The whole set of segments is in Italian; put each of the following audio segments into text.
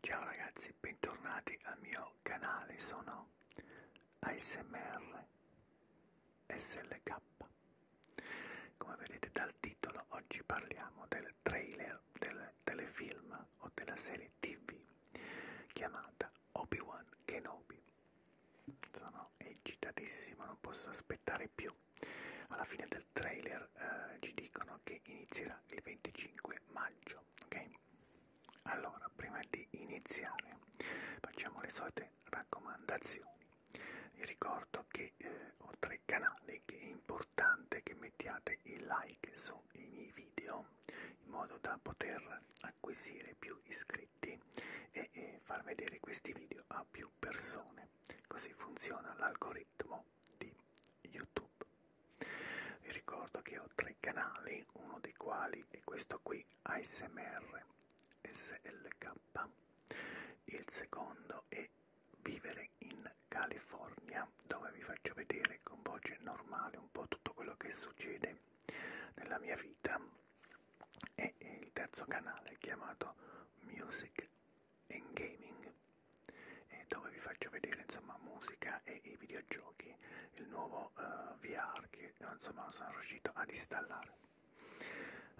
Ciao ragazzi, bentornati al mio canale, sono ASMR SLK. Come vedete dal titolo oggi parliamo del trailer del telefilm o della serie TV chiamata Obi-Wan Kenobi. Sono eccitatissimo, non posso aspettare più esempio. Alla fine del trailer eh, ci dicono che inizierà il 25 maggio, ok? Allora, prima di iniziare facciamo le solite raccomandazioni. Vi ricordo che eh, ho tre canali che è importante che mettiate il like sui miei video in modo da poter acquisire più iscritti e, e far vedere questi video a più persone visione. Così funziona l'algoritmo di YouTube. Vi ricordo che ho tre canali, uno dei quali è questo qui, ASMR SLK. Il secondo è Vivere in California, dove vi faccio vedere con voce normale un po' tutto quello che succede nella mia vita. E il terzo canale chiamato Music in gaming eh, dove vi faccio vedere insomma musica e i videogiochi il nuovo uh, eh, VR che insomma sono riuscito ad installare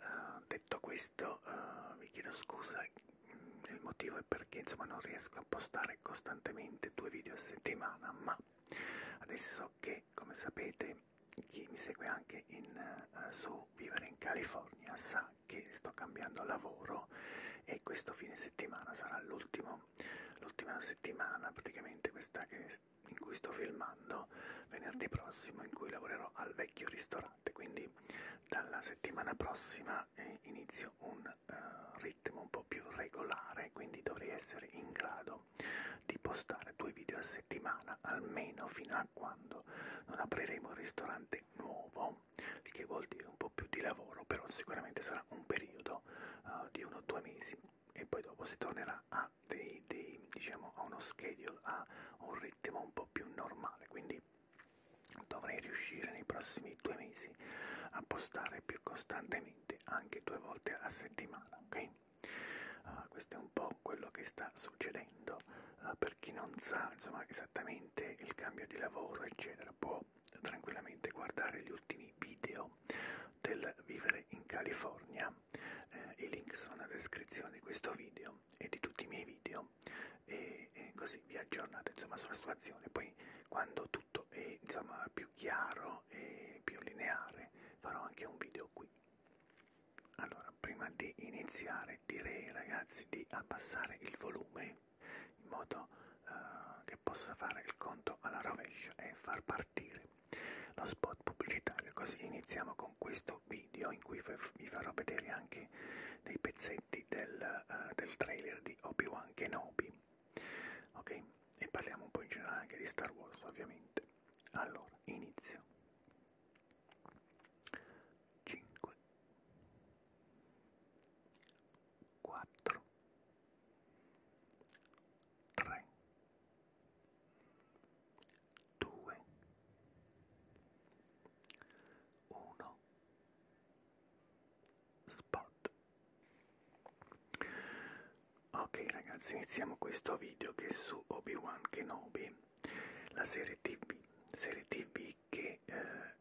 uh, detto questo uh, vi chiedo scusa il motivo è perché insomma non riesco a postare costantemente due video a settimana ma adesso che come sapete chi mi segue anche in, uh, su Vivere in California sa settimana che sto cambiando lavoro e questo fine settimana sarà l'ultimo, l'ultima settimana praticamente questa che, in cui sto filmando venerdì prossimo in cui lavorerò al vecchio ristorante quindi dalla settimana prossima eh, inizio un uh, ritmo un po' più regolare quindi dovrei essere in grado di postare due video a settimana almeno fino a quando non apriremo il ristorante nuovo meno, il che vuol dire un po' più di lavoro, però sicuramente sarà un periodo uh, di uno o due mesi e poi dopo si tornerà a, dei, dei, diciamo, a uno schedule, a un ritmo un po' più normale, quindi dovrei riuscire nei prossimi due mesi a postare più costantemente, anche due volte a settimana, ok? Uh, questo è un po' quello che sta succedendo eh, per chi non sa insomma, esattamente il cambio di lavoro eccetera può tranquillamente guardare gli ultimi video del vivere in California eh, i link sono nella descrizione di questo video e di tutti i miei video e, e così vi aggiornate insomma sulla situazione poi quando tutto è insomma più chiaro e più lineare farò anche un video qui allora prima di iniziare cercare direi ragazzi di abbassare il volume in modo uh, che possa fare il conto alla rovescia e far partire lo spot pubblicitario così iniziamo con questo video in cui vi farò vedere anche dei pezzetti del, uh, del trailer di Obi-Wan Kenobi ok e parliamo un po' in generale anche di Star Wars ovviamente allora inizio cinque, quattro, tre, due, uno. Spot. Ok ragazzi, iniziamo questo video che è su Obi-Wan Kenobi, la serie TV, serie TV e che eh,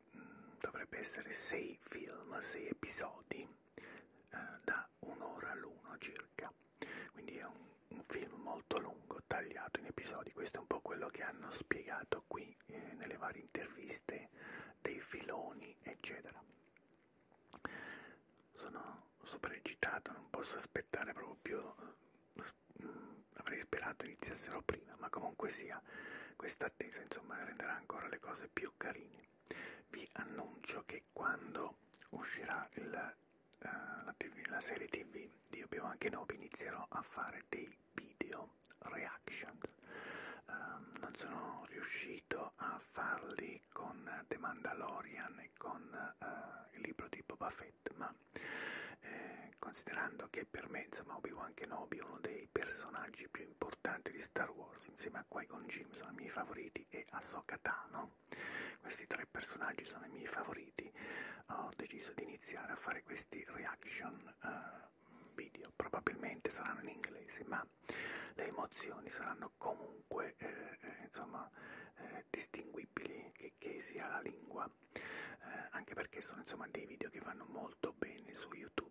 dovrebbe essere sei film, sei episodi eh, da un'ora l'uno circa. Quindi è un, un film molto lungo, tagliato in episodi. Questo è un po' quello che hanno spiegato qui eh, nelle varie interviste dei filoni, eccetera. Sono super eccitato, non posso aspettare proprio avrei sperato iniziassero prima, ma comunque sia, questa attesa insomma renderà ancora le cose più carine. Vi annuncio che quando uscirà il, uh, la, TV, la serie TV di Obi Wan Kenobi inizierò a fare dei video reactions. Uh, non sono riuscito a farli con The Mandalorian e con uh, il libro di Boba Fett, ma eh, considerando che per me insomma Obi-Wan Kenobi è uno dei personaggi più importanti di Star Wars insieme a Qui-Gon Jinn sono i miei favoriti e a Sokata, no? Questi tre personaggi sono i miei favoriti ho deciso di iniziare a fare questi reaction uh, video probabilmente saranno in inglese ma le emozioni saranno comunque eh, eh, insomma eh, distinguibili che, che sia la lingua eh, anche perché sono insomma dei video che vanno molto bene su YouTube.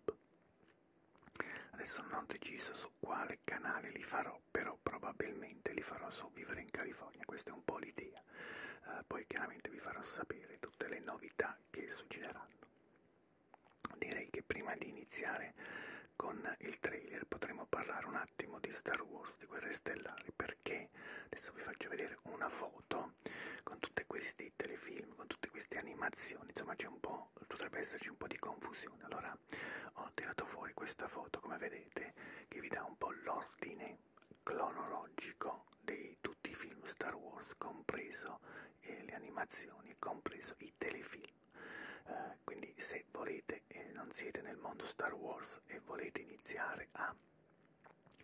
Adesso non ho deciso su quale canale li farò, però probabilmente li farò su Vivere in California, questa è un po' l'idea. Eh, poi chiaramente vi farò sapere tutte le novità che succederanno. Direi che prima di iniziare con il trailer potremo parlare un attimo di Star Wars, di Guerre Stellari, perché adesso vi faccio vedere una foto con tutti questi telefilm, con tutte queste animazioni, insomma c'è un po', potrebbe esserci un po' di confusione. Allora ho tirato fuori questa foto, come vedete, che vi dà un po' l'ordine cronologico di tutti i film Star Wars, compreso eh, le animazioni, compreso i telefilm. Eh, quindi se volete e eh, non siete nel mondo Star Wars e volete iniziare a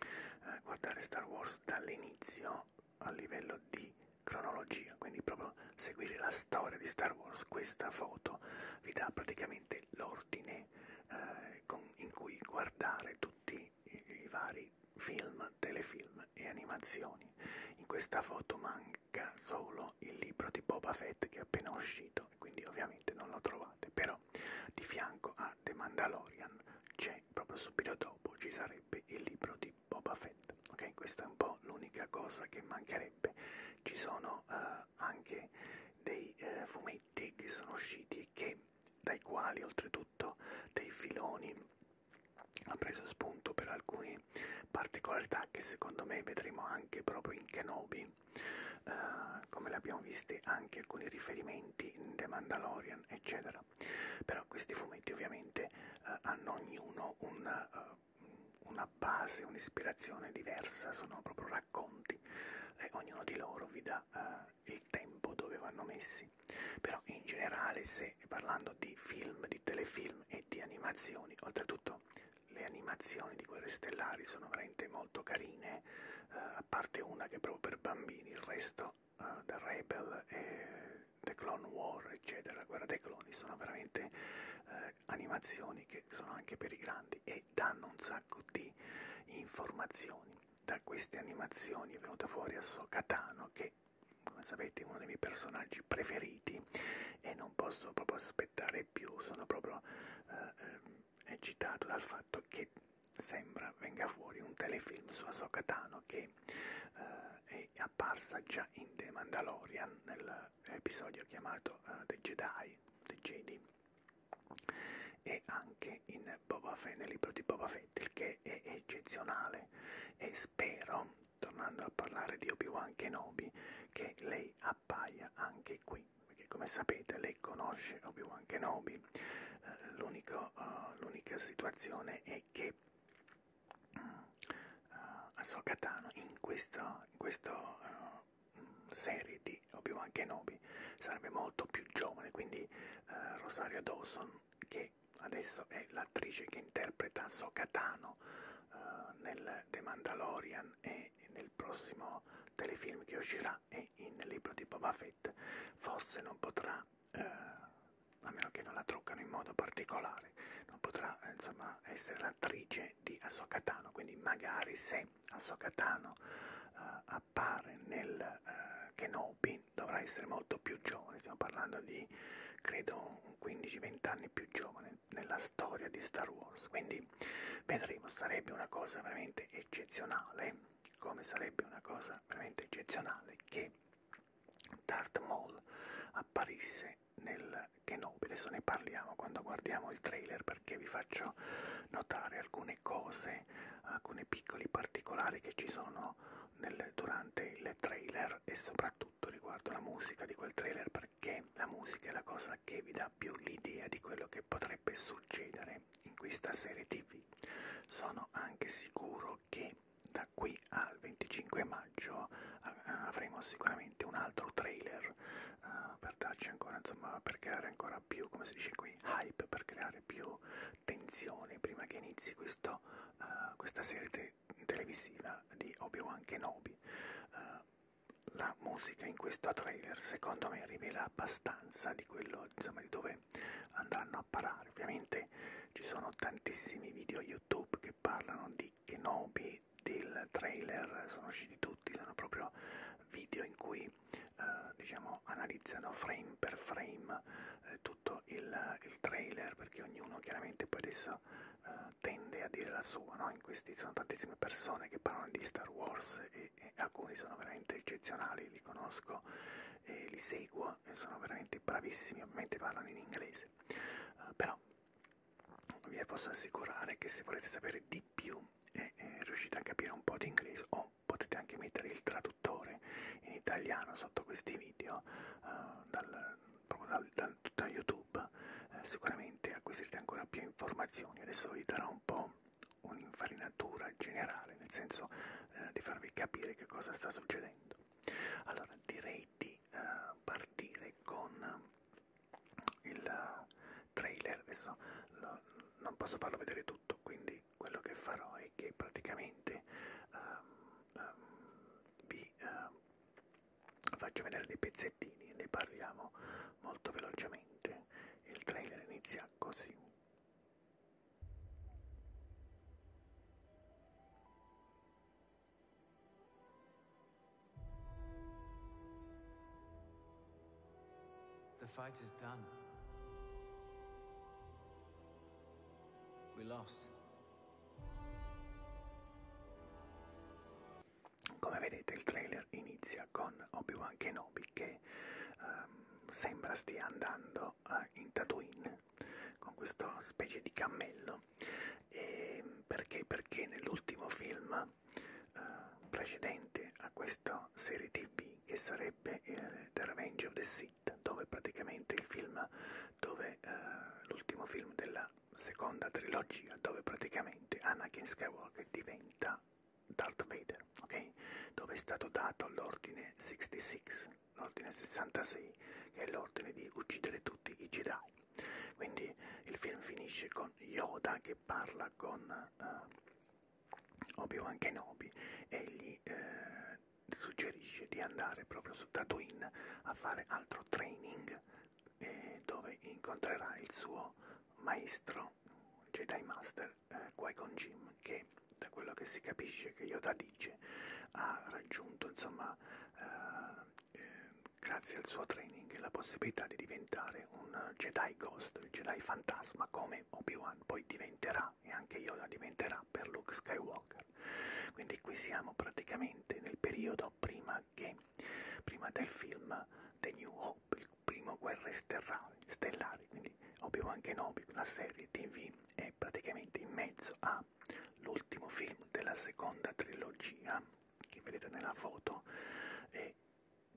eh, guardare Star Wars dall'inizio a livello di cronologia, quindi proprio seguire la storia di Star Wars, questa foto vi dà praticamente l'ordine eh, con, in cui guardare tutti i, i vari film, telefilm e animazioni. In questa foto manca solo il libro di Boba Fett che è appena uscito, quindi ovviamente non lo trovate, però di fianco a The Mandalorian c'è proprio subito dopo ci sarebbe mancherebbe il libro di Boba Fett, ok? Questa è un po' l'unica cosa che mancherebbe. Ci sono uh, anche dei uh, fumetti che sono usciti che, dai quali oltretutto dei filoni ha preso spunto per alcune particolarità che secondo me vedremo anche proprio in Kenobi, uh, come l'abbiamo viste anche alcuni riferimenti in The Mandalorian, eccetera eccetera. Però questi fumetti ovviamente eh, hanno ognuno una, uh, eh, una base, un'ispirazione diversa, sono proprio racconti e ognuno di loro vi dà uh, il tempo dove vanno messi. Però in generale se parlando di film, di telefilm e di animazioni, oltretutto le animazioni di Guerre Stellari sono veramente molto carine, eh, a parte una che è proprio per bambini, il resto uh, The Rebel e The Clone War, eccetera, la guerra dei cloni, sono veramente uh, animazioni che sono anche per i grandi e danno un sacco di informazioni. Da queste animazioni è venuta fuori Ahsoka Tano che come sapete è uno dei miei personaggi preferiti e non posso proprio aspettare più, sono proprio eh, ehm, eccitato dal fatto che sembra venga fuori un telefilm su Ahsoka Tano che perché eh, è apparsa già in The Mandalorian, nell'episodio chiamato uh, The Jedi, The Jedi, e anche in Boba Fett, nel libro di Boba Fett, il che è eccezionale e spero, tornando a parlare di Obi-Wan Kenobi, che lei appaia anche qui, perché come sapete lei conosce Obi-Wan Kenobi, eh, eh l'unica situazione è che uh, Ahsoka Tano in questa uh, serie di Obi-Wan Kenobi sarebbe molto più giovane, quindi uh, Rosario Dawson, che adesso è l'attrice che interpreta Ahsoka Tano uh, nel The Mandalorian e nel prossimo telefilm che uscirà e in libro di Boba Fett, forse non potrà uh, a meno che non la truccano in modo particolare, non potrà eh, insomma, essere l'attrice di Ahsoka Tano, quindi magari se Ahsoka Tano uh, appare nel uh, Kenobi dovrà essere molto più giovane, stiamo parlando di credo 15-20 anni più giovane nella storia di Star Wars, quindi vedremo, sarebbe una cosa veramente eccezionale, come sarebbe una cosa veramente eccezionale che Darth Maul apparisse nel Kenobi. Adesso ne parliamo quando guardiamo il trailer perché vi faccio notare alcune cose, alcuni piccoli particolari che ci sono nel, durante il trailer e soprattutto riguardo la musica di quel trailer perché la musica è la cosa che vi dà più l'idea di quello che potrebbe succedere in questa serie tv. Sono anche sicuro che da qui al 25 maggio avremo sicuramente un altro trailer uh, per darci ancora, insomma, per creare ancora più, come si dice qui, hype, per creare più tensione prima che inizi questo, uh, questa serie te televisiva di Obi-Wan Kenobi. Uh, la musica in questo trailer secondo me rivela abbastanza di quello insomma, di dove dove andranno a parare. Ovviamente ci sono tantissimi video YouTube che parlano di Kenobi, del trailer, sono usciti tutti, sono proprio video in cui eh, diciamo analizzano frame per frame eh, tutto il, il, trailer perché ognuno chiaramente poi adesso eh, tende a dire la sua, no? in questi sono tantissime persone che parlano di Star Wars e, e alcuni sono veramente eccezionali, li conosco e li seguo e sono veramente bravissimi, ovviamente parlano in inglese, uh, però vi posso assicurare che se volete sapere di più e, eh, e eh, riuscite a capire un po' di inglese o potete anche mettere il traduttore in italiano sotto questi video uh, dal, proprio dal, dal, da YouTube, uh, sicuramente acquisirete ancora più informazioni. Adesso vi darò un po' un'infarinatura generale, nel senso eh, di farvi capire che cosa sta succedendo. Allora direi di uh, partire con eh, il trailer, adesso lo, non posso farlo vedere tutto, quindi quello che farò è che praticamente um, um, vi uh, faccio vedere dei pezzettini, ne parliamo molto velocemente. Il trailer inizia così. The fight is done. We lost. Come vedete il trailer inizia con Obi-Wan Kenobi che um, sembra stia andando uh, in Tatooine con questa specie di cammello e perché? Perché nell'ultimo film eh, precedente a questa serie TV che sarebbe eh, The Revenge of the Sith dove praticamente il film dove eh, l'ultimo film della seconda trilogia dove praticamente Anakin Skywalker diventa Darth Vader, ok? Dove è stato dato l'ordine 66 l'ordine 66, che è l'ordine di uccidere tutti i Jedi. Quindi il film finisce con Yoda che parla con uh, Obi-Wan Kenobi e gli eh, suggerisce di andare proprio su Tatooine a fare altro training eh, dove incontrerà il suo maestro Jedi Master eh, Qui-Gon Jim che da quello che si capisce che Yoda Parigi, ha raggiunto insomma eh, eh, grazie al suo training la possibilità di diventare un Jedi Ghost, il Jedi Fantasma come Obi-Wan poi diventerà e anche Yoda diventerà per Luke Skywalker. Quindi qui siamo praticamente nel periodo prima, che, prima del film The New Hope, il primo Guerre Stellari, quindi Obi-Wan Kenobi, la serie TV è praticamente in mezzo a l'ultimo film della seconda trilogia che vedete nella foto è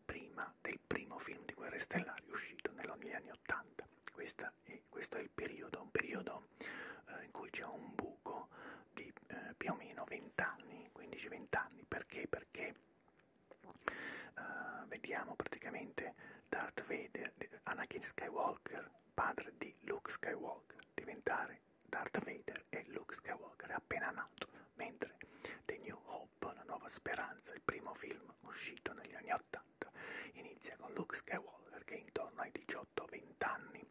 prima del primo film di Guerre Stellari uscito negli anni 80. Questa è, questo è il periodo, un periodo eh, in cui c'è un buco di eh, più o meno 20 anni, 15-20 anni, perché? Perché eh, vediamo praticamente Darth Vader, Anakin Skywalker padre di Luke Skywalker, diventare Darth Vader e Luke Skywalker appena nato, mentre The New Hope, una nuova speranza, il primo film uscito negli anni 80, inizia con Luke Skywalker che è intorno ai 18-20 anni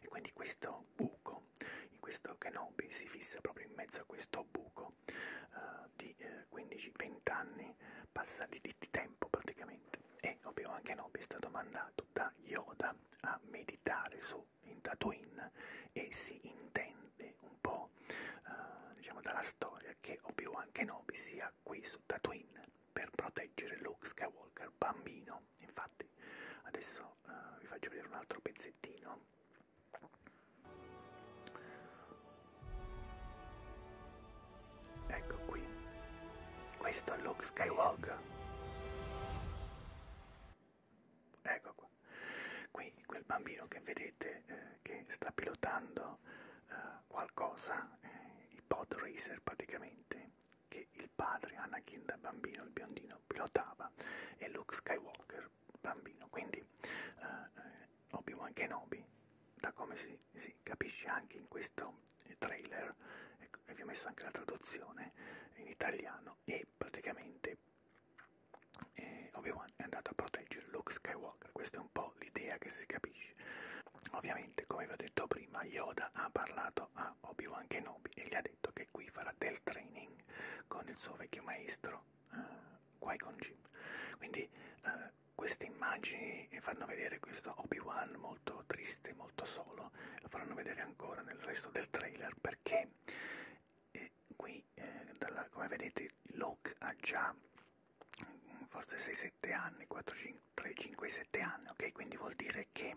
e quindi questo buco, in questo Kenobi si fissa proprio in mezzo a questo buco uh, di eh, 15-20 anni, passa di, di tempo praticamente e Obi-Wan Kenobi è stato mandato da Yoda a meditare su in Tatooine e si intende un po' eh, diciamo dalla storia che Obi-Wan Kenobi sia qui su Tatooine per proteggere Luke Skywalker bambino. Infatti adesso eh, vi faccio vedere un altro pezzettino. Ecco qui. Questo è Luke Skywalker Ecco qua. Qui quel bambino che vedete eh, che sta pilotando eh, qualcosa, eh, i pod racer praticamente, che il padre Anakin da bambino, il biondino, pilotava e Luke Skywalker bambino. Quindi eh, eh Obi-Wan Kenobi, da come si, si capisce anche in questo trailer e vi ho messo anche la traduzione in italiano e praticamente eh, Obi-Wan è andato a proteggere Luke Skywalker, questa è un po' l'idea che si capisce. Ovviamente, come vi ho detto prima, Yoda ha parlato a Obi-Wan Kenobi e gli ha detto che qui farà del training con il suo vecchio maestro uh, eh, Qui-Gon Jinn. Quindi uh, queste immagini fanno vedere questo Obi-Wan molto triste, molto solo bello, lo faranno vedere ancora nel resto del trailer perché eh, qui, eh, dalla, come vedete, Locke ha già mm, forse 6-7 anni, 3-5-7 anni, ok? Quindi vuol dire che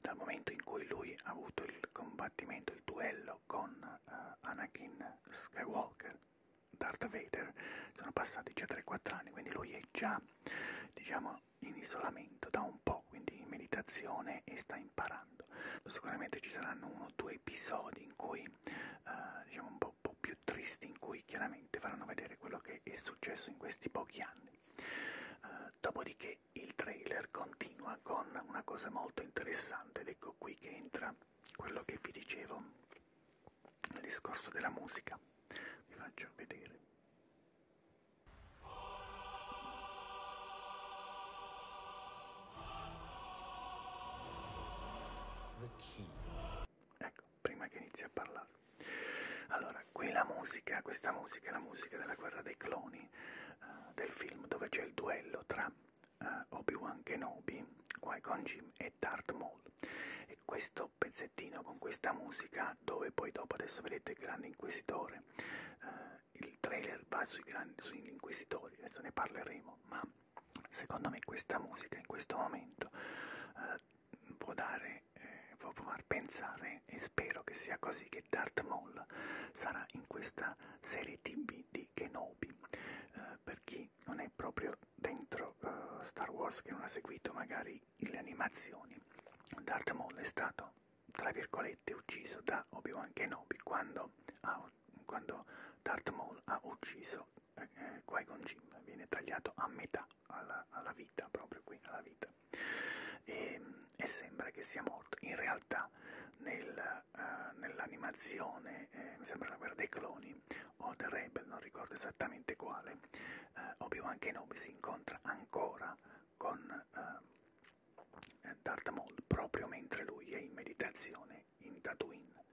dal momento in cui lui ha avuto il combattimento, il duello con uh, Anakin Skywalker, Darth Vader, sono passati già 3-4 anni, quindi lui è già, diciamo, in isolamento da un po', quindi in meditazione e sta imparando. Sicuramente ci saranno uno o due episodi in cui, eh, diciamo un po', un po' più tristi, in cui chiaramente faranno vedere quello che è successo in questi pochi anni. Eh, dopodiché il trailer continua con una cosa molto interessante ed ecco qui che entra quello che vi dicevo, il discorso della musica. Vi faccio vedere. Ecco, prima che inizi a parlare. Allora, qui la musica, questa musica è la musica della guerra dei cloni, uh, del film dove c'è il duello tra uh, Obi-Wan Kenobi, Qui-Gon Jim e Darth Maul. E questo pezzettino con questa musica, dove poi dopo adesso vedete grandi Grande Inquisitore, eh, il trailer va sui grandi, sugli Inquisitori, adesso ne parleremo, ma secondo me questa musica in questo momento eh, può dare, eh, può far pensare, e spero che sia così, che Darth Maul sarà in questa serie TV di Kenobi. Eh, per chi non è proprio dentro eh, Star Wars, che non ha seguito magari le animazioni, Darth Maul è stato tra virgolette ucciso da Obi-Wan Kenobi quando, ha, quando Darth Maul ha ucciso eh, eh, Qui-Gon Jinn, viene tagliato a metà alla, alla vita, proprio qui alla vita e, ehm, e sembra che sia morto. In realtà nel, uh, nell'animazione, eh, mi sembra la guerra dei cloni o The Rebel, non ricordo esattamente quale, uh, Obi-Wan Kenobi si incontra ancora con eh, eh Darth Maul proprio mentre lui è in meditazione in Tatooine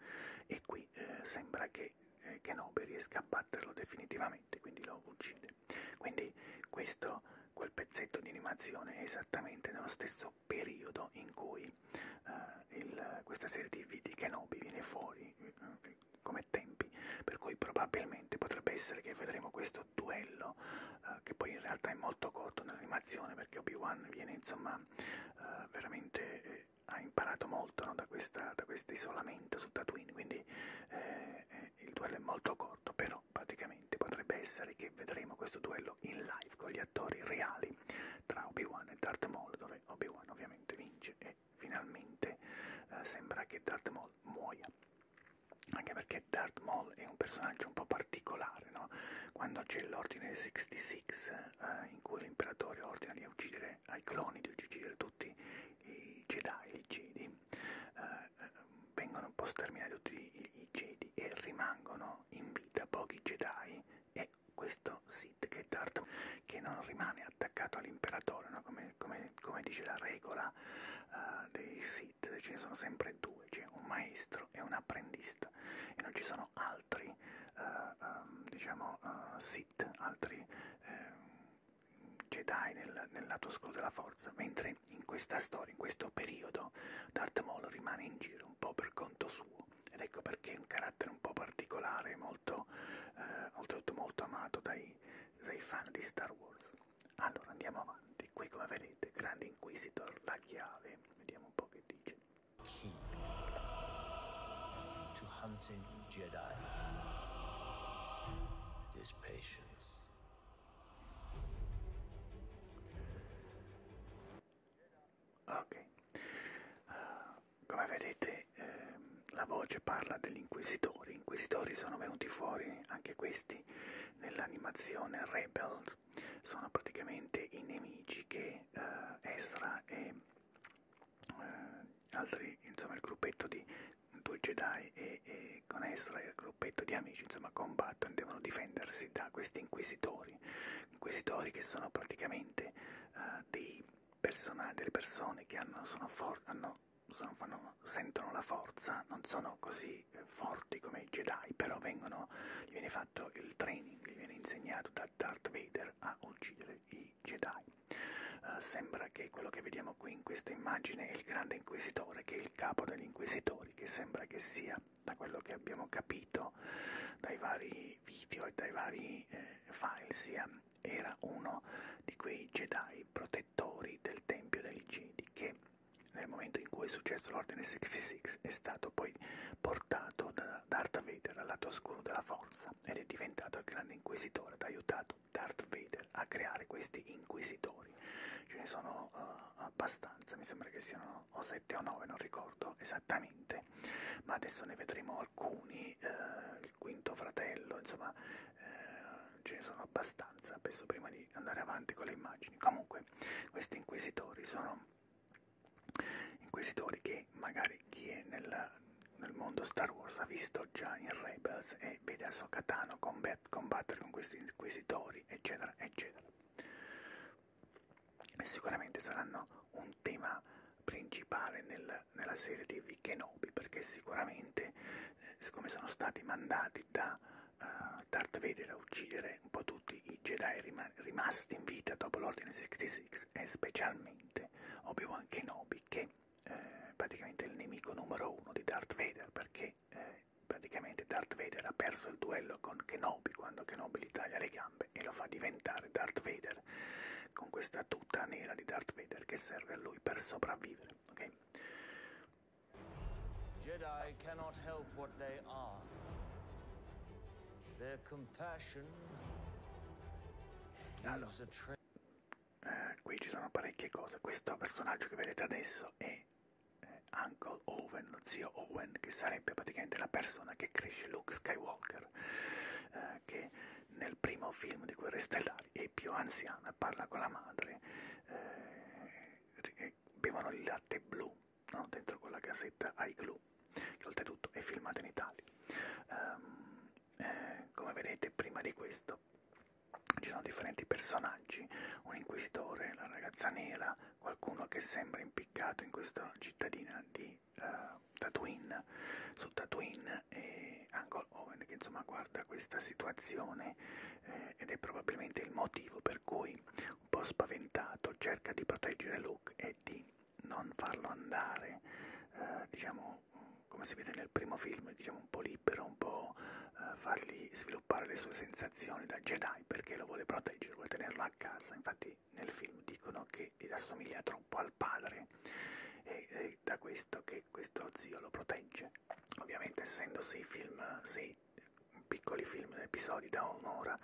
e qui eh, sembra che eh, Kenobi riesca a batterlo definitivamente, quindi lo uccide. Quindi questo, quel pezzetto di animazione è esattamente nello stesso periodo in cui eh, il, questa serie TV di Kenobi viene fuori eh, come tempi, per cui probabilmente potrebbe essere che vedremo questo questo duello eh, che poi in realtà è molto corto nell'animazione perché Obi-Wan viene insomma eh, veramente eh, ha imparato molto no, da questo isolamento su Tatooine quindi eh, eh, il duello è molto corto però praticamente potrebbe essere che vedremo questo duello in live con gli attori reali tra Obi-Wan e Darth Maul dove Obi-Wan ovviamente vince e finalmente eh, sembra che Darth Maul muoia anche perché Darth Maul è un personaggio un po' particolare, no? Quando c'è l'ordine 66, eh, in cui l'imperatore ordina di uccidere ai cloni, di uccidere tutti i Jedi, i Jedi, eh, eh, vengono un po' sterminati tutti i, i Jedi e rimangono in vita pochi Jedi e questo Sith che è Darth che non rimane attaccato all'imperatore, no? come, come, come, dice la regola eh, dei Sith ce ne sono sempre due, c'è un maestro e un apprendista e non ci sono altri, uh, um, diciamo, uh, eh, Sith, altri uh, Jedi nel, nel lato oscuro della forza, mentre in questa storia, in questo periodo, Darth Maul rimane in giro un po' per conto suo ed ecco perché è un carattere un po' particolare, molto, uh, oltretutto molto amato dai, dai fan di Star Wars. Allora andiamo avanti, qui come vedete, Grande Inquisitor, la chiave, vediamo un po' che dice. Key to hunting Jedi is patience. Ok, uh, come vedete eh, la voce parla degli inquisitori, inquisitori sono venuti fuori anche questi nell'animazione Rebels sono praticamente i nemici che eh, Ezra e eh, altri, insomma il gruppetto di due Jedi e, e con Ezra e il gruppetto di amici insomma combattono e devono difendersi da questi inquisitori, inquisitori che sono praticamente eh, dei persone, delle persone che hanno, sono for hanno sono, fanno, sentono la forza, non sono così eh, forti come i Jedi, però vengono, gli viene fatto il training, gli viene insegnato da Darth Vader a uccidere i Jedi. Uh, sembra che quello che vediamo qui in questa immagine è il grande inquisitore, che è il capo degli inquisitori, che sembra che sia, da quello che abbiamo capito dai vari video e dai vari eh, file, sia, era uno di quei Jedi protetti protettori del Tempio degli Gedi che nel momento in cui è successo l'Ordine 66 è stato poi portato da Darth Vader al lato oscuro della forza ed è diventato il grande inquisitore ed ha aiutato Darth Vader a creare questi inquisitori. Ce ne sono uh, abbastanza, mi sembra che siano o 7 o 9, non ricordo esattamente, ma adesso ne vedremo alcuni, uh, il quinto fratello, insomma uh, ce ne sono abbastanza, penso prima di di andare avanti con le immagini. Comunque, questi inquisitori sono inquisitori che magari chi è nel, nel mondo Star Wars ha visto già in Rebels e vede a Sokatano combattere con questi inquisitori, eccetera, eccetera. E sicuramente saranno un tema principale nel, nella serie TV Kenobi perché sicuramente, eh, siccome sono stati mandati da uh, eh, Darth Vader a uccidere un po' tutti i Jedi rima rimasti in vita dopo l'Ordine 66 e specialmente Obi-Wan Kenobi che eh, praticamente è il nemico numero uno di Darth Vader perché eh, praticamente Darth Vader ha perso il duello con Kenobi quando Kenobi gli taglia le gambe e lo fa diventare Darth Vader con questa tuta nera di Darth Vader che serve a lui per sopravvivere. Okay? Jedi cannot help what they are. Their compassion allora, eh, qui ci sono parecchie cose. Questo personaggio che vedete adesso è eh, Uncle Owen, lo zio Owen, che sarebbe praticamente la persona che cresce Luke Skywalker, eh, che nel primo film di Guerre Stellari è più anziana, parla con la madre, eh, che bevono il latte blu no? dentro quella casetta ai clou, che oltretutto è filmato in Italia. Um, eh, come vedete, prima di questo ci sono differenti personaggi, un inquisitore, la ragazza nera, qualcuno che sembra impiccato in questa cittadina di uh, Tatooine, su Tatooine e Angol Owen che insomma guarda questa situazione persone eh, ed è probabilmente il motivo per cui, un po' spaventato, cerca di proteggere Luke e di non farlo andare, eh, diciamo, come si vede nel primo film, diciamo un po' libero, un po' eh, fargli sviluppare le sue sensazioni da Jedi perché lo vuole proteggere, vuole tenerlo a casa. Infatti nel film dicono che gli assomiglia troppo al padre e è da questo che questo zio lo protegge. Ovviamente essendo sei film, sei piccoli film, episodi da un'ora,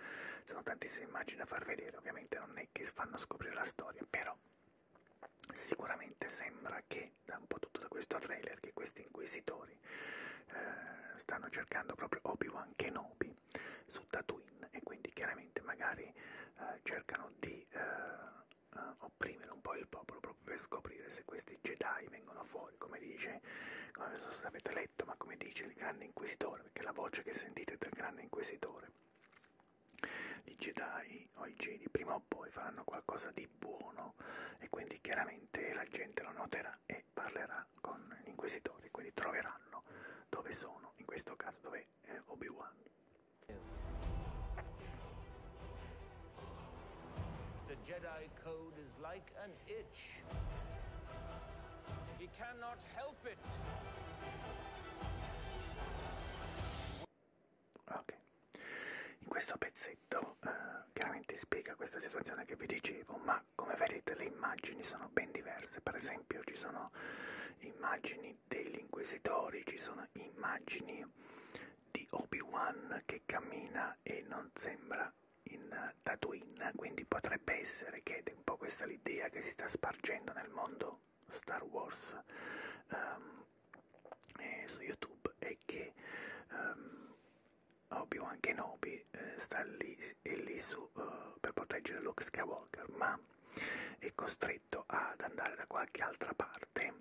sono tantissime immagini da far vedere, ovviamente non è che fanno scoprire la storia, però sicuramente sembra che, da un po' tutto da questo trailer, che questi inquisitori eh, stanno cercando proprio Obi-Wan Kenobi su Tatooine e quindi chiaramente magari eh, cercano di eh, eh opprimere un po' il popolo proprio per scoprire se questi Jedi vengono fuori signori, come dice, non so se avete letto, ma come dice il grande inquisitore, perché la voce che sentite è del grande inquisitore. I Jedi o i Jedi prima o poi faranno qualcosa di buono e quindi chiaramente la gente lo noterà e parlerà con gli inquisitori, quindi troveranno dove sono, in questo caso dove è Obi-Wan. The Jedi Code is like an an itch. He cannot help it. Ok. In questo pezzetto eh, chiaramente spiega questa situazione che vi dicevo, ma come vedete le immagini sono ben diverse. Per esempio ci sono immagini degli inquisitori, ci sono immagini di Obi-Wan che cammina e non sembra in eh, Tatooine, quindi potrebbe essere che è un po' questa l'idea che si sta spargendo nel mondo Star Wars um, eh, su YouTube e che um, Obi-Wan Kenobi eh, sta lì, è lì su, uh, per proteggere Luke Skywalker, ma è costretto ad andare da qualche altra parte,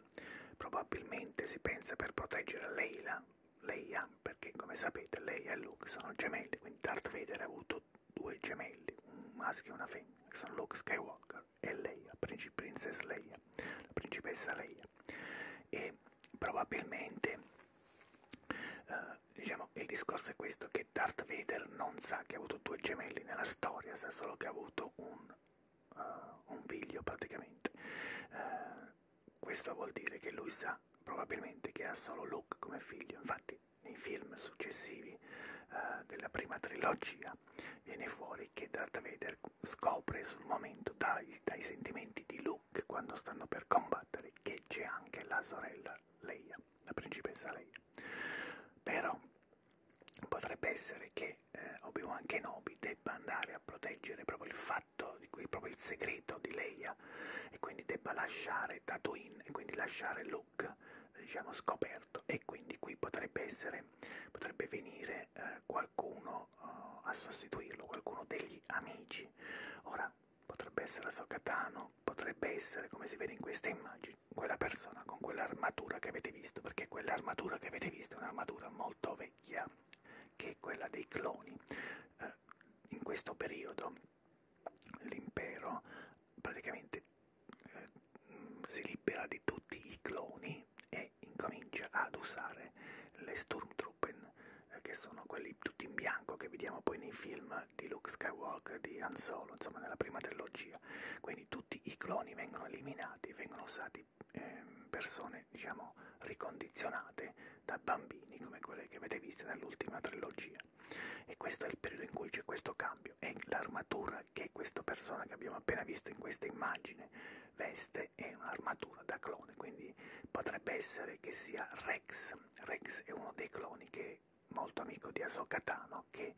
probabilmente si pensa per proteggere Leila lei Young, perché come sapete lei e Luke sono gemelli, quindi Darth Vader ha avuto due gemelli, un maschio e una femmina, che sono Luke Skywalker e Leia, Princi Princess Leia, la principessa Leia. E probabilmente, eh, diciamo, il discorso è questo, che Darth Vader non sa che ha avuto due gemelli nella storia, sa solo che ha avuto un, uh, un figlio praticamente. Uh, questo vuol dire che lui sa probabilmente che ha solo Luke come figlio, infatti nei film successivi eh, della prima trilogia viene fuori che Darth Vader scopre sul momento dai, dai sentimenti di Luke quando stanno per combattere che c'è anche la sorella Leia, la principessa Leia. Però potrebbe essere che eh, Obi-Wan Kenobi debba andare a proteggere proprio il fatto gatto, di cui è proprio il segreto di Leia, e quindi debba lasciare Tatooine, e quindi lasciare Luke, diciamo, scoperto. E quindi qui potrebbe essere, potrebbe venire eh, qualcuno eh, a sostituirlo, qualcuno degli amici. Ora, potrebbe essere Sokatano, potrebbe essere, come si vede in queste immagini, quella persona con quell'armatura che avete visto, perché quell'armatura che avete visto è un'armatura molto vecchia, che è quella dei cloni. Eh, in questo periodo l'impero praticamente eh, si libera di tutti i cloni e incomincia ad usare le Sturmtruppen, eh, che sono quelli tutti in bianco che vediamo poi nei film di Luke Skywalker, di Han Solo, insomma nella prima trilogia. Quindi tutti i cloni vengono eliminati, vengono usati eh, persone, diciamo, ricondizionate da bambini come quelle che avete visto nell'ultima trilogia e questo è il periodo in cui c'è questo cambio e l'armatura che questa persona che abbiamo appena visto in questa immagine veste è un'armatura da clone quindi potrebbe essere che sia Rex Rex è uno dei cloni che è molto amico di Ahsoka Tano che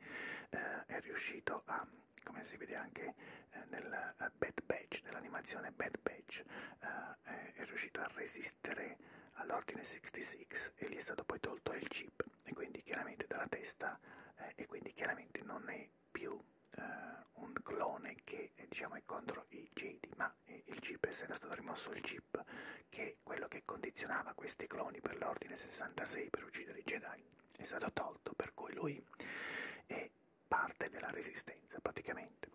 eh, è riuscito a come si vede anche eh, nel eh, Bad Batch, nell'animazione Bad Batch, eh, eh, è riuscito a resistere all'ordine 66 e gli è stato poi tolto il chip e quindi chiaramente dalla testa eh, e quindi chiaramente non è più eh, un clone che eh, diciamo è contro i Jedi ma eh, il chip essendo stato rimosso il chip che è quello che condizionava questi cloni per l'ordine 66 per uccidere i Jedi è stato tolto per cui lui è parte della resistenza praticamente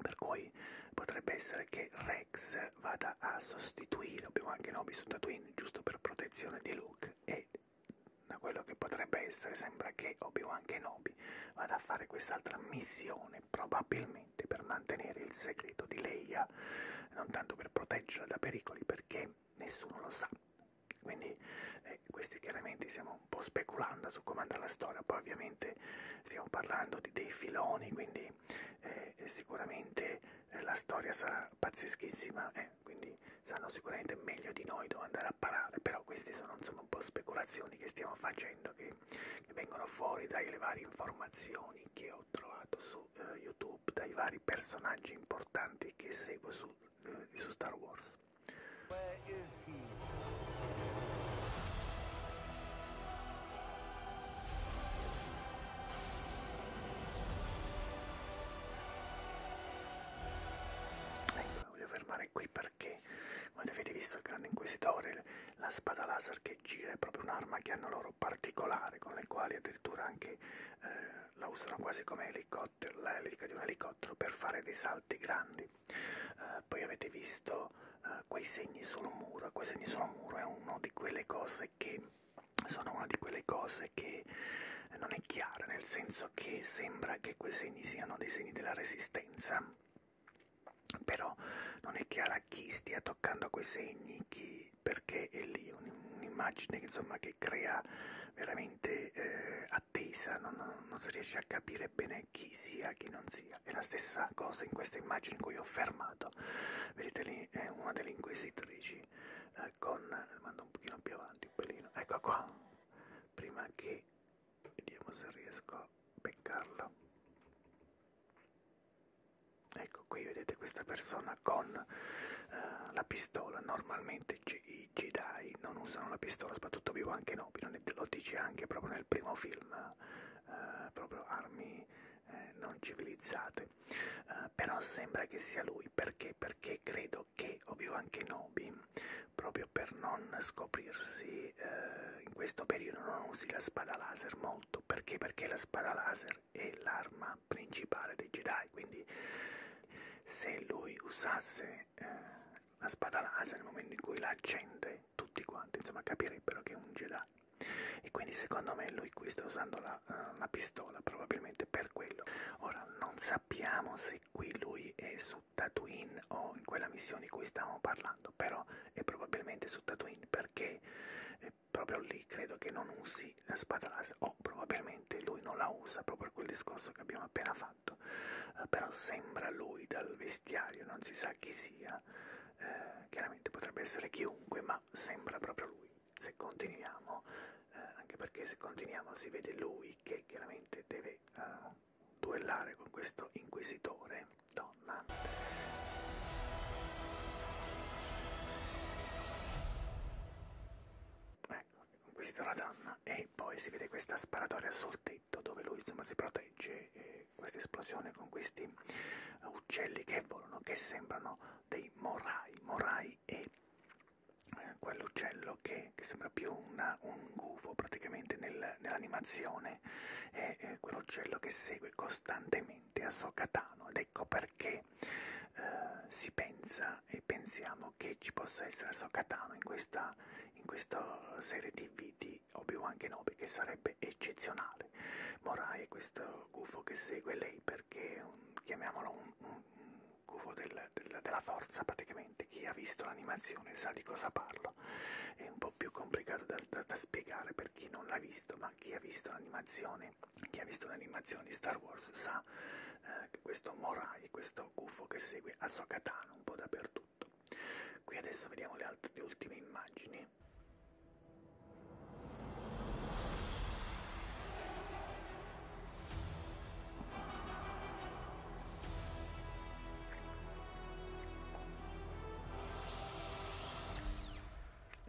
per cui potrebbe essere che Rex vada a sostituire, abbiamo anche Nobi su Tatooine giusto per protezione di Luke e da quello che potrebbe essere sembra che Obi-Wan Kenobi vada a fare quest'altra missione probabilmente per mantenere il segreto di Leia non tanto per proteggerla da pericoli perché nessuno lo sa quindi eh, questi chiaramente stiamo un po' speculando su come andrà la storia poi ovviamente sicuramente stiamo parlando di dei filoni, quindi eh, sicuramente eh, la storia sarà pazzeschissima, eh, quindi sanno sicuramente meglio di noi dove andare a parare, però queste sono insomma un po' speculazioni che stiamo facendo, che, che vengono fuori dalle varie informazioni che ho trovato su eh, YouTube, dai vari personaggi importanti che seguo su, eh, su Star Wars. Where is he? Ecco, voglio fermare qui perché, come avete visto, il grande inquisitore, la spada laser che gira è proprio un'arma che hanno loro particolare, con le quali addirittura anche eh, la usano quasi come elicottero, l'elica di un elicottero per fare dei salti grandi eh, poi avete visto eh, quei segni sul muro quei segni sul muro è una di quelle cose che sono una di quelle cose che non è chiara nel senso che sembra che quei segni siano dei segni della resistenza però non è chiara chi stia toccando quei segni chi perché è lì un'immagine insomma che crea veramente eh, attesa non, non, non si riesce a capire bene chi sia chi non sia polizia. È la stessa cosa in questa immagine in cui ho fermato. Vedete lì è una delle inquisitrici eh, con... mando un pochino più avanti, un pelino. Ecco qua. Prima che... vediamo se riesco a beccarla. Ecco qui vedete questa persona con eh, la pistola. Normalmente i Jedi non usano la pistola, soprattutto Obi-Wan Kenobi, non è, lo dice anche proprio nel primo film eh, proprio armi eh, non civilizzate. Eh, però sembra che sia lui, perché? Perché credo che Obi-Wan Kenobi, proprio per non scoprirsi eh, in questo periodo, non usi la spada laser molto. Perché? Perché la spada laser è l'arma principale dei Jedi, quindi se lui usasse eh, la spada laser nel momento in cui la accende tutti quanti, insomma capirebbero che è un Jedi. E quindi secondo me lui qui sta usando la, uh, la pistola probabilmente per quello. Ora non sappiamo se qui lui è su Tatooine o in quella missione di cui stavamo parlando, però è probabilmente su Tatooine perché eh, proprio lì credo che non usi la spada laser o probabilmente lui non la usa proprio per quel discorso che abbiamo appena fatto, uh, però sembra lui dal vestiario, non si sa chi sia eh, chiaramente potrebbe essere chiunque, ma sembra proprio lui. Se continuiamo, eh, anche perché se continuiamo si vede lui che chiaramente deve eh, duellare con questo inquisitore, donna. Ecco, inquisitore donna e poi si vede questa sparatoria sul tetto dove lui insomma si protegge. E questa esplosione con questi uccelli che volano, che sembrano dei morai. Morai è eh, quell'uccello che, che sembra più una, un gufo praticamente nel, nell'animazione, è, è quell'uccello che segue costantemente Asokatano ed ecco perché eh, si pensa e pensiamo che ci possa essere Asokatano in questa, in questa serie TV di di Obi-Wan Kenobi che sarebbe eccezionale. Morai è questo gufo che segue lei perché è un, chiamiamolo un, un, un gufo del, del, della forza praticamente, chi ha visto l'animazione sa di cosa parlo, è un po' più complicato da, da, da spiegare per chi non l'ha visto, ma chi ha visto l'animazione, chi ha visto l'animazione di Star Wars sa eh, che questo Morai, questo gufo che segue Ahsoka Tano un po' dappertutto. Qui adesso vediamo le, altre, le ultime immagini anni.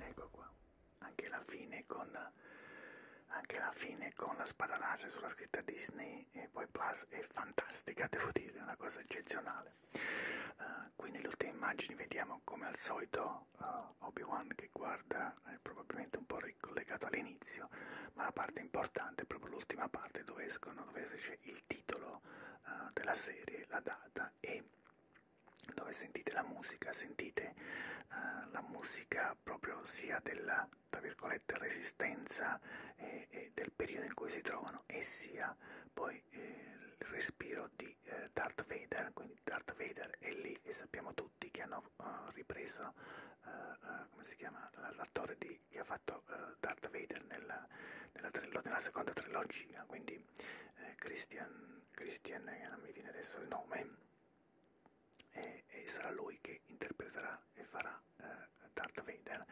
Ecco qua, anche la fine con, anche la, fine con la spadanace sulla scritta Disney e poi Plus è fantastica, devo dire, è una cosa eccezionale. Uh, qui nelle ultime immagini vediamo come al solito uh, Obi-Wan che guarda è probabilmente un po' ricollegato all'inizio, ma la parte importante è proprio l'ultima parte dove escono, dove esce il titolo uh, della serie, la data e dove sentite la musica, sentite uh, la musica proprio sia della tra virgolette resistenza e, e del periodo in cui si trovano e sia poi eh, il respiro quello di eh, Darth Vader, quindi Darth Vader è lì e sappiamo tutti che hanno uh, ripreso uh, uh, come si chiama l'attore di, che ha fatto uh, Darth Vader nella, nella, nella seconda trilogia, quindi eh, Christian, Christian eh, non mi viene adesso il nome, e, e sarà lui che interpreterà e farà eh, Darth Vader,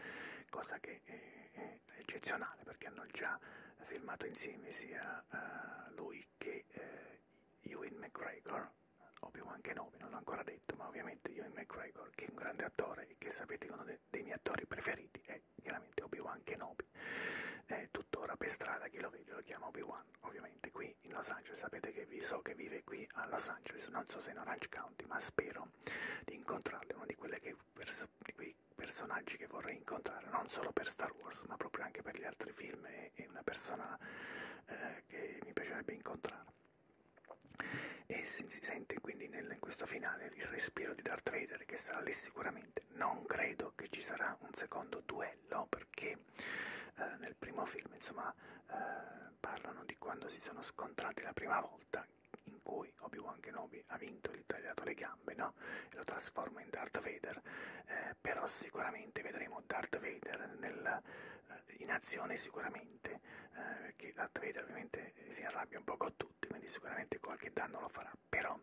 cosa che... Eh, eccezionale perché hanno già filmato insieme sia uh, lui che uh, Ewan McGregor, Obi-Wan Kenobi, non l'ho ancora detto, ma ovviamente Ewan McGregor che è un grande attore e che sapete che uno de dei miei attori preferiti è chiaramente Obi-Wan Kenobi, è tuttora per strada chi lo vede lo chiama Obi-Wan, ovviamente qui in Los Angeles, sapete che vi so che vive qui a Los Angeles, non so se in Orange County, ma spero di incontrarlo, è una di quelle che perso di quei personaggi che vorrei incontrare, non solo per Star Wars, ma proprio anche per gli altri film e, e una persona eh, che mi piacerebbe incontrare. E si, si sente quindi nel, in questo finale il respiro di Darth Vader che sarà lì sicuramente. Non credo che ci sarà un secondo duello perché eh, nel primo film insomma eh, parlano di quando si sono scontrati la prima volta in cui Obi-Wan Kenobi ha vinto e gli ha tagliato le gambe gambe, no? E lo trasforma in Darth Vader. Eh, però sicuramente vedremo Darth Vader nel, eh, in azione sicuramente, eh, perché Darth Vader ovviamente si arrabbia un po' con tutti, quindi sicuramente qualche danno lo farà, però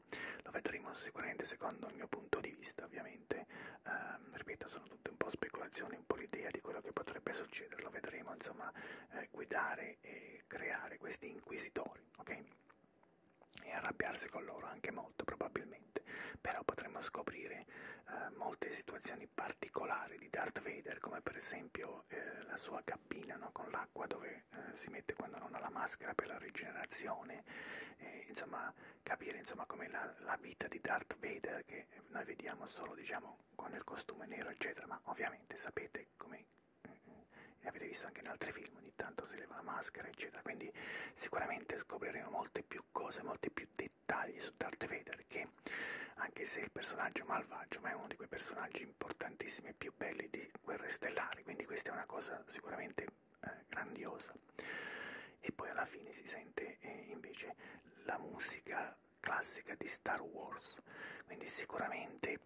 lo vedremo sicuramente secondo il mio punto di vista, ovviamente. Eh, ripeto, sono tutte un po' speculazioni, un po' l'idea di quello che potrebbe succedere, lo vedremo, insomma, eh, guidare e creare questi inquisitori, ok? e arrabbiarsi con loro anche molto probabilmente, però potremmo scoprire eh, molte situazioni particolari di Darth Vader, come per esempio eh, la sua cabina no? con l'acqua dove eh, si mette quando non ha la maschera per la rigenerazione, insomma capire insomma come la, la, vita di Darth Vader che noi vediamo solo diciamo con il costume nero eccetera, ma ovviamente sapete come l'avete visto anche in altri film, ogni tanto si leva la maschera, eccetera. Quindi sicuramente scopriremo molte più cose, molti più dettagli su Darth Vader, che anche se è il personaggio malvagio, ma è uno di quei personaggi importantissimi e più belli di Guerre Stellari, quindi questa è una cosa sicuramente eh, grandiosa. E poi alla fine si sente eh, invece la musica classica di Star Wars, quindi sicuramente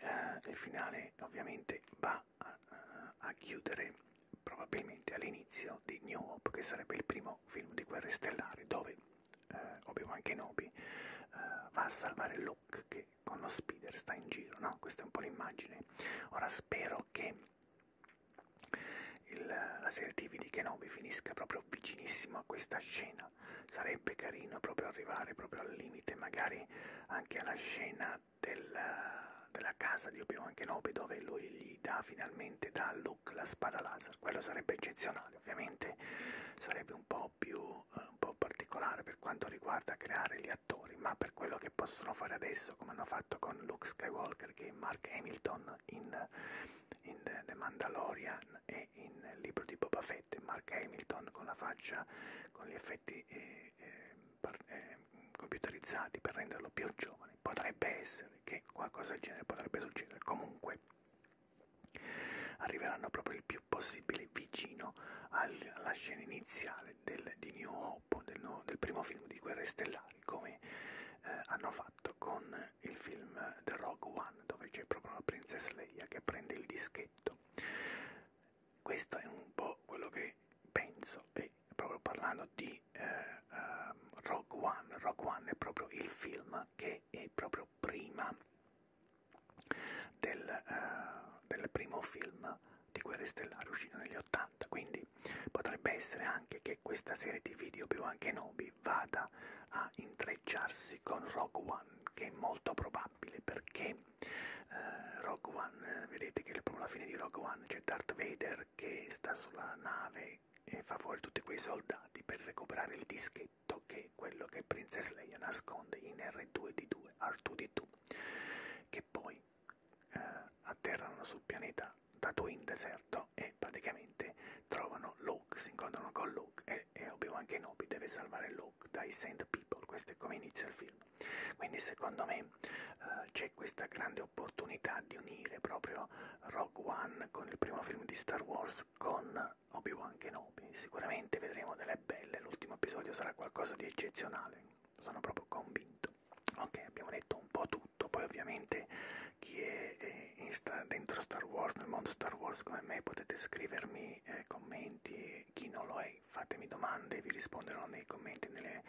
eh, il finale ovviamente va a, a chiudere probabilmente all'inizio di New Hope, che sarebbe il primo film di Guerre Stellari, dove eh, Obi-Wan Kenobi eh, va a salvare Luke, che con lo speeder sta in giro, no? Questa è un po' l'immagine. Ora spero che il, la serie TV di Kenobi finisca proprio vicinissimo a questa scena. Sarebbe carino proprio arrivare proprio al limite, magari anche alla scena del, della casa di Obi-Wan Kenobi dove lui gli dà finalmente da Luke la spada laser, quello sarebbe eccezionale, ovviamente sarebbe un po' più eh, un po particolare per quanto riguarda creare gli attori, ma per quello che possono fare adesso, come hanno fatto con Luke Skywalker che Mark Hamilton in, in The Mandalorian e in il libro di Boba Fett, Mark Hamilton con la faccia, con gli effetti effetti eh, eh, per, eh, computerizzati per renderlo più giovane, potrebbe essere che qualcosa del genere potrebbe succedere, comunque arriveranno proprio il più possibile vicino al, alla scena iniziale del, di New Hope, del, nuovo, del primo film di Guerre Stellari, come eh, hanno fatto con il film The Rogue One, dove c'è proprio la Princess Leia che prende il dischetto questo è un po' quello che penso e proprio parlando di eh, uh, Rogue One, Rogue One è proprio il film che è proprio prima del, uh, del primo film di Guerre Stellari uscito negli 80, quindi potrebbe essere anche che questa serie tv di Obi-Wan Kenobi vada a intrecciarsi con Rogue One, che è molto probabile perché eh, Rogue One, eh, vedete che proprio alla fine di Rogue One c'è Darth Vader che sta sulla nave e fa fuori tutti quei soldati per recuperare il dischetto che è quello che Princess Leia nasconde in R2D2, R2D2, che poi eh, atterrano sul pianeta Tatooine deserto e praticamente trovano Luke, si incontrano con Luke e, e Obi-Wan Kenobi deve salvare Luke dai Sand People, questo è come inizia il film. Quindi secondo me eh, c'è questa grande opportunità di unire proprio Rogue One con il primo film di Star Wars con Obi-Wan Kenobi. Sicuramente vedremo delle belle, l'ultimo episodio sarà qualcosa di eccezionale, sono proprio convinto. Ok, abbiamo detto un po' tutto, poi ovviamente chi è, è sta, dentro Star Wars, nel mondo Star Wars come me, potete scrivermi eh, commenti è, chi non lo è, fatemi domande, vi risponderò nei commenti, nelle,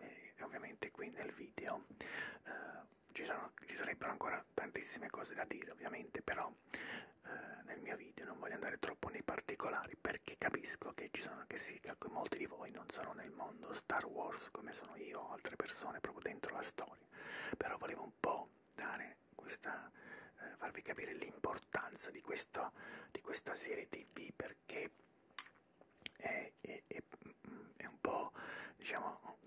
eh, ovviamente qui nel video. Eh, ci, sono, ci sarebbero ancora tantissime cose da dire ovviamente, però eh, nel mio video non voglio andare troppo nei particolari perché capisco che ci sono, che sì, che molti di voi non sono nel mondo Star Wars come sono io o altre persone proprio dentro la storia, però volevo un po' dare questa, eh, farvi capire l'importanza di, di, questa serie TV per perché è, è, è, è un po' diciamo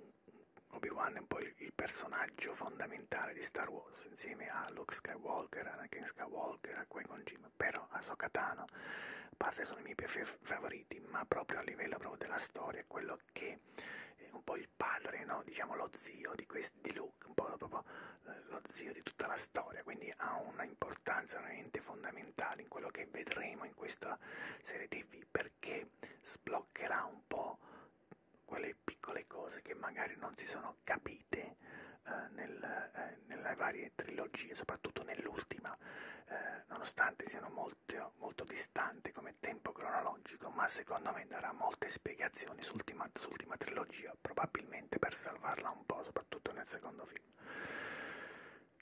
Obi-Wan è un po' il, il personaggio fondamentale di Star Wars insieme a Luke Skywalker, Anakin Skywalker, a Qui-Gon Jinn, però a Sokatano a parte sono i miei favoriti, ma proprio a livello proprio della storia è quello che è un po' il padre, no? diciamo lo zio di, questi, di Luke, un po' proprio lo zio di tutta la storia, quindi ha una importanza veramente fondamentale in quello che vedremo in questa serie TV perché sbloccherà un po' quelle piccole cose che magari non si sono capite eh, nel, eh, nelle varie trilogie, soprattutto nell'ultima, eh, nonostante siano molto, molto distanti come tempo cronologico, ma secondo me darà molte spiegazioni sull'ultima, sull'ultima trilogia, probabilmente per salvarla un po', soprattutto nel secondo film.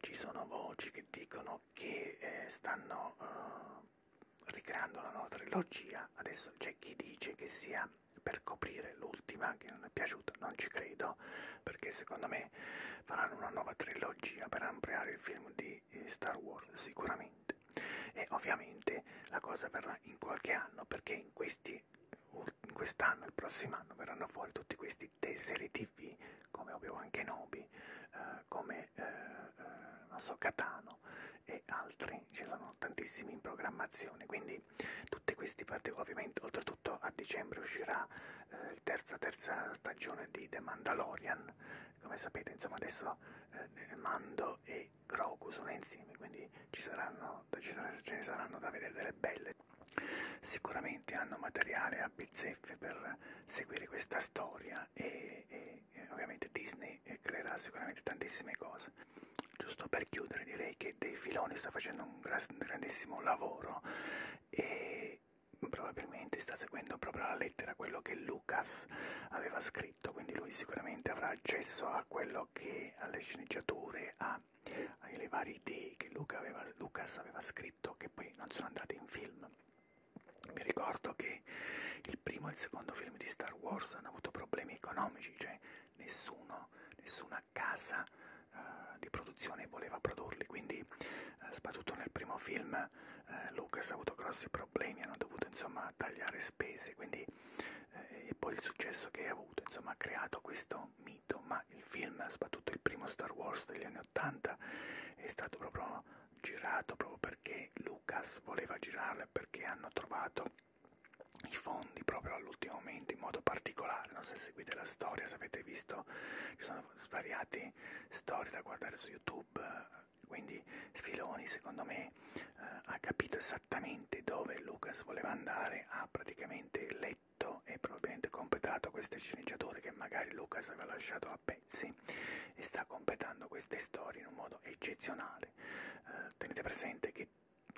Ci sono voci che dicono che eh, stanno eh, ricreando la nuova trilogia. Adesso c'è chi dice che sia per coprire l'ultima che non è piaciuta, non ci credo, perché secondo me faranno una nuova trilogia per ampliare il film di eh, Star Wars sicuramente. E ovviamente la cosa verrà in qualche anno perché in questi quest'anno, il prossimo anno verranno fuori tutti questi tesserie tv come abbiamo anche Nobi, eh, come eh, eh, non so, Catano e altri, ci sono tantissimi in programmazione, quindi tutti questi particolari, ovviamente oltretutto a dicembre uscirà la eh, terza, terza stagione di The Mandalorian, come sapete insomma adesso eh, Mando e Grogu sono insieme, quindi ci saranno, ce ne saranno da vedere delle belle Sicuramente hanno materiale a bizzeffe per seguire questa storia e, e, e ovviamente Disney eh, creerà sicuramente tantissime cose. Giusto per chiudere direi che Dei Filoni sta facendo un grandissimo lavoro e probabilmente sta seguendo proprio alla lettera quello che Lucas aveva scritto, quindi lui sicuramente avrà accesso a quello che alle sceneggiature, a alle varie idee che Luca aveva, Lucas aveva scritto che poi non sono andate in film. Mi ricordo che il primo e il secondo film di Star Wars hanno avuto problemi economici, cioè nessuno, nessuna casa uh, di produzione voleva produrli, quindi uh, soprattutto nel primo film uh, Lucas ha avuto grossi problemi, hanno dovuto insomma tagliare spese, quindi, e poi il successo che ha avuto, insomma ha creato questo mito, ma ma il film, soprattutto il primo Star Wars degli anni 80, è stato proprio girato proprio perché Lucas voleva girarlo e perché hanno trovato i fondi proprio all'ultimo momento in modo particolare. No? Se seguite la storia, se avete visto, ci sono svariate storie da guardare su YouTube. Quindi Filoni, secondo me, eh, ha capito esattamente dove Lucas voleva andare, ha praticamente letto letto e probabilmente completato queste sceneggiature che magari Lucas aveva lasciato a pezzi e sta completando queste storie in un modo eccezionale. Eh, tenete presente che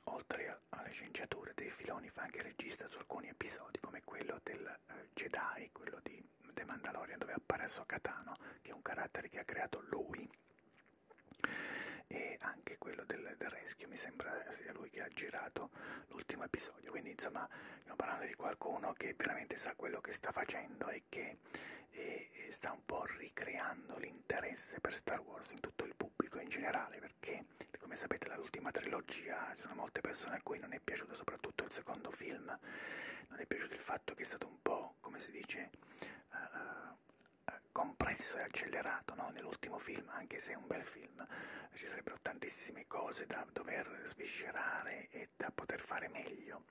oltre alle sceneggiature dei Filoni fa anche regista su alcuni episodi come quello del eh, Jedi, quello di The Mandalorian dove appare Sokatano, che è un carattere che ha creato lui e anche quello del, del Rescue, mi sembra sia lui che ha girato visto l'ultimo episodio, quindi insomma stiamo parlando di qualcuno che veramente sa quello che sta facendo e che e, e sta un po' ricreando l'interesse per Star Wars in tutto il pubblico in generale, perché come sapete l'ultima trilogia ci sono molte persone a cui non è piaciuto soprattutto il secondo film, non è piaciuto il fatto che è stato un po', come si dice, uh, compresso e accelerato no? nell'ultimo film, anche se è un bel film film, ci sarebbero tantissime cose da dover sviscerare e da poter fare meglio.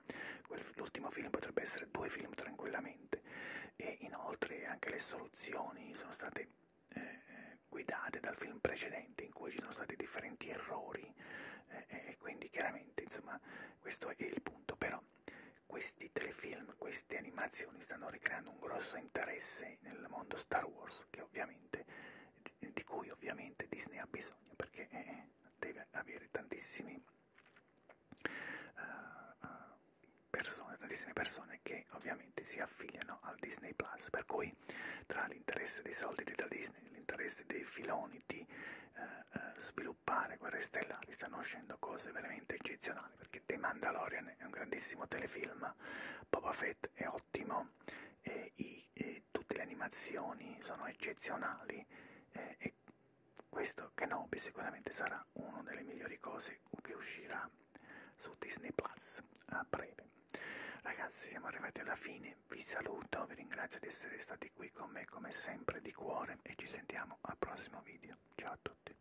L'ultimo film potrebbe essere due film tranquillamente e inoltre anche le soluzioni sono state eh, eh guidate dal film precedente in cui ci sono stati differenti errori eh, eh, e quindi chiaramente insomma questo è il punto. Però questi telefilm, queste animazioni stanno ricreando un grosso interesse nel mondo Star Wars che ovviamente di cui ovviamente Disney ha bisogno perché eh, deve avere tantissime uh, eh, persone, tantissime persone che ovviamente si affiliano al Disney Plus. Per cui tra l'interesse dei soldi da Disney, l'interesse dei filoni di uh, sviluppare guerre stellari, stanno uscendo cose veramente eccezionali perché The Mandalorian è un grandissimo telefilm, Boba Fett è ottimo eh, i, eh, tutte le animazioni sono eccezionali eh, e questo Kenobi sicuramente sarà una delle migliori cose che uscirà su Disney Plus a breve. Ragazzi siamo arrivati alla fine, vi saluto, vi ringrazio di essere stati qui con me come sempre di cuore e ci sentiamo al prossimo video. Ciao a tutti.